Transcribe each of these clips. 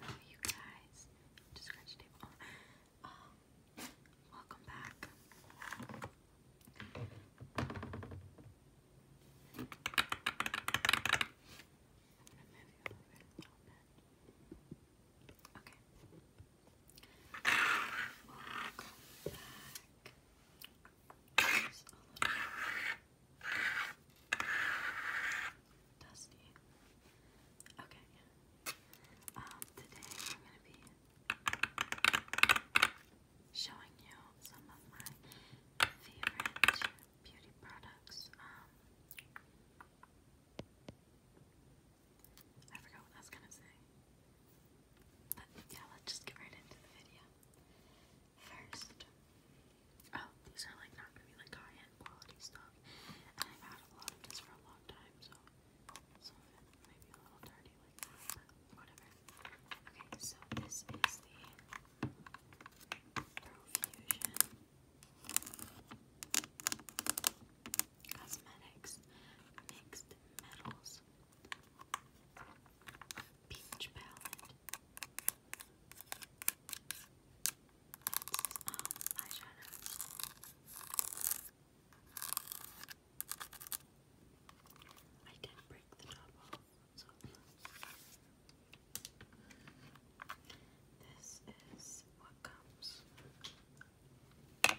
Hello, you guys. Just scratch the table. Oh, uh, welcome back. Okay. dusty. Okay. Um, today I'm gonna be showing you some of my favorite beauty products. Um, I forgot what I was gonna say. But yeah, let's just get right into the video. First, oh, these are like not gonna be like high end quality stuff. And I've had a lot of this for a long time, so some of it may be a little dirty like that, but whatever. Okay, so this is the Profusion Cosmetics, Mixed Metals, Peach Palette. That's um, eyeshadows. I did break the top off, so this is what comes the palette.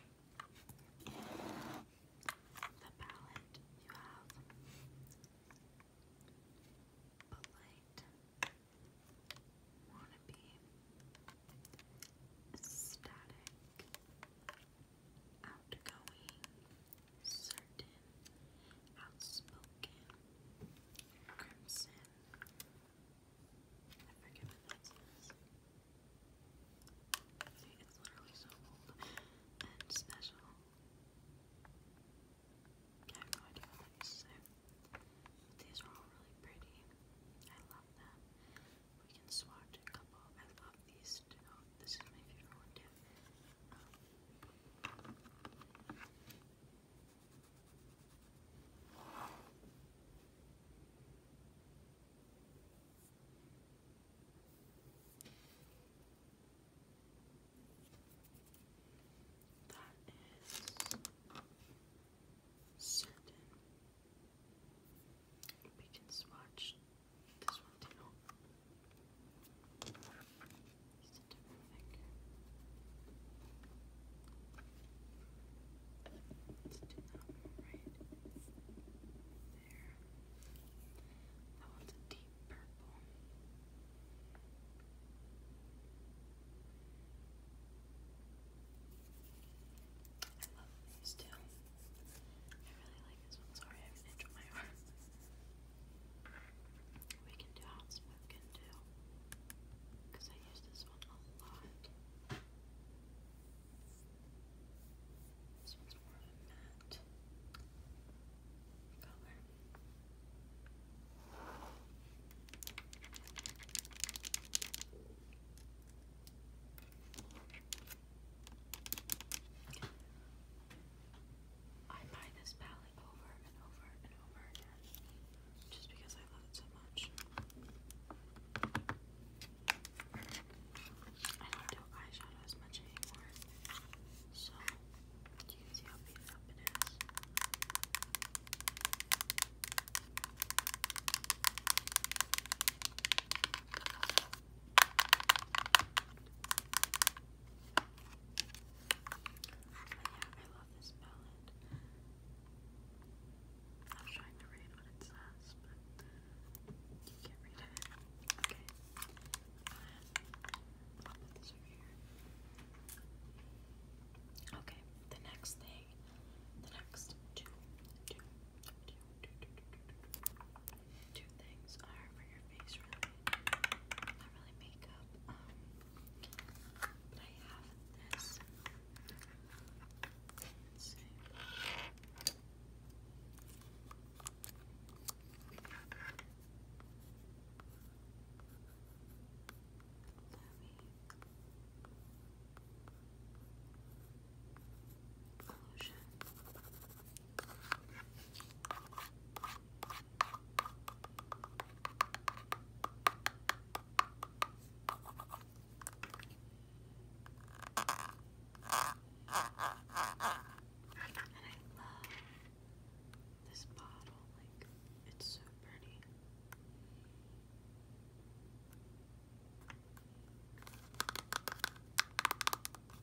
You have Polite, Wannabe, Static, Outgoing, Certain, Outspoken, Crimson, I forget it's literally so old and special. I have no idea what that used to say. These are all really pretty. I love them. We can swatch a couple. I love these this is my favorite one too. Um, that is certain. We can swatch this one too. Just a Let's do that right there. That one's a deep purple. I love these two. I really like this one. Sorry, I injured my arm. We can do hot smoking too, because I use this one a lot. This one's more of a matte color. I buy this palette just because I love it so much. I don't do eyeshadow as much anymore, so you see how beat up it is yeah, I love this palette. I was trying to read what it says, but you can't read it. Okay. Okay, the next thing, the next two, two, two, two, two, two, two, two, two, two things are for your face, really. Not really makeup. Um, but I have this. Let's see. Let me and I love this bottle, like, it's so pretty.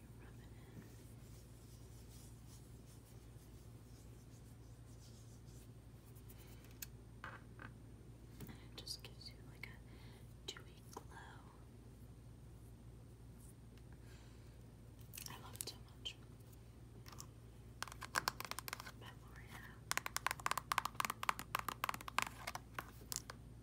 you And it just gives you like a dewy glow. I love it so much.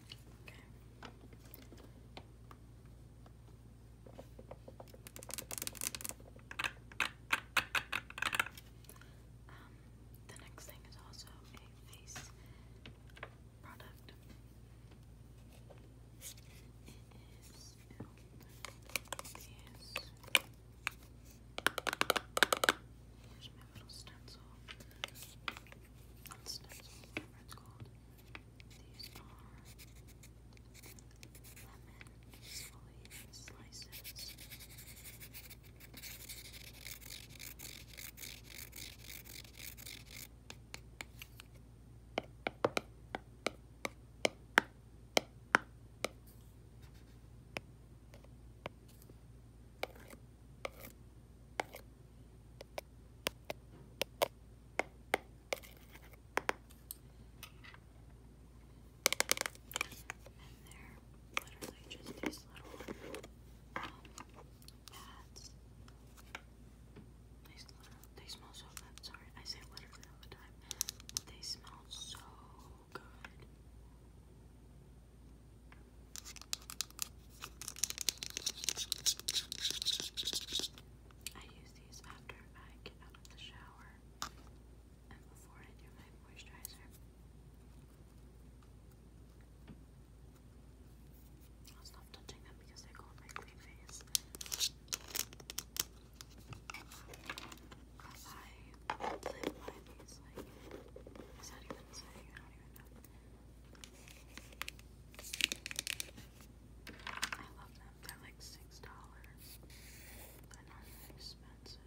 Okay. Um, the next thing is also a face product. It is you my little stencil. stencil, whatever it's called. These are lemon slices they're literally just these little um, pads. they smell so good. Sorry, I say literally all the time. They smell so good. I use these after I get out of the shower and before I do my moisturizer. i stop touching them because they go on my clean face. I live by these, like, is that even saying? I love them. They're like six dollars. They're not that expensive.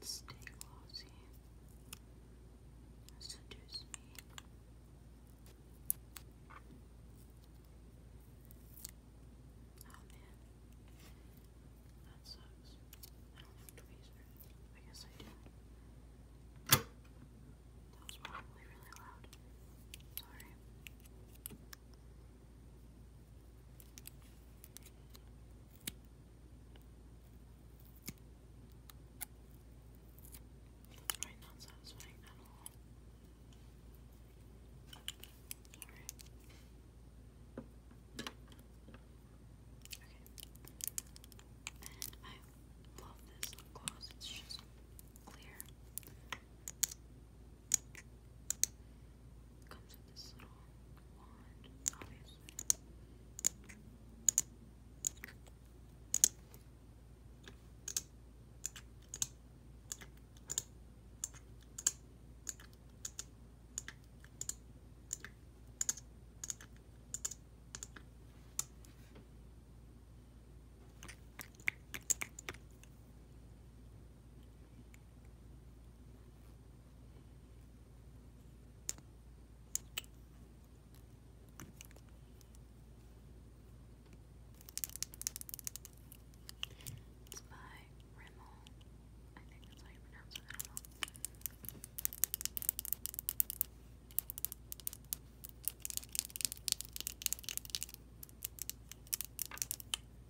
Stay Glossy. Seduce me. Oh man. That sucks. I don't have tweezers. I guess I do. That was probably really loud. Sorry. Right, not satisfying at all. Sorry. Okay. And I love this gloss. It's just clear comes with this little wand, obviously. It's by Rimmel. I think that's how you pronounce it. I don't know. So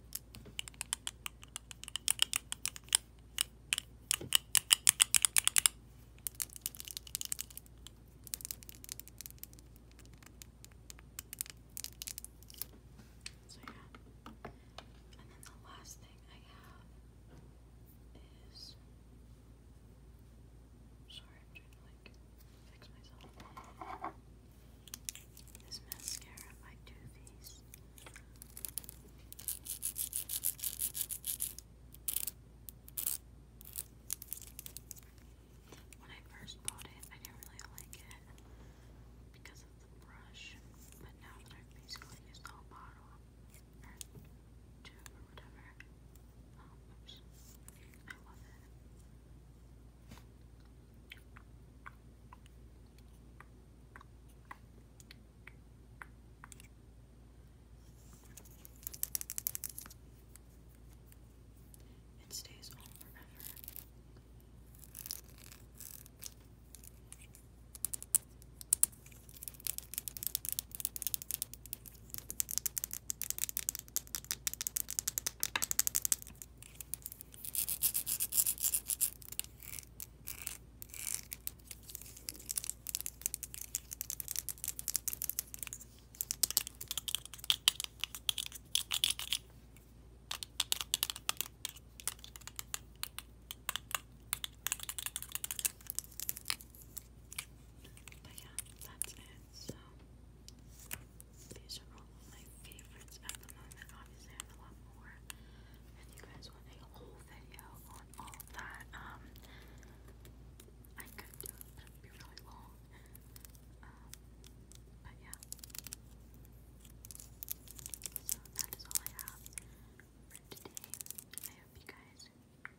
yeah. And then the last thing I have is sorry, I'm trying to like fix myself. This mascara by Too Faced. When I first bought it, I didn't really like it because of the brush, but now that I've basically used the whole bottle, or two or whatever, oh, oops, I love it. It stays on forever. But yeah, that's it. So these are all my favorites at the moment. Obviously, I have a lot more. If you guys want a whole video on all of that, um, I could do it, but it would be really long. Um, but yeah. So that is all I have for today. I hope you guys enjoyed.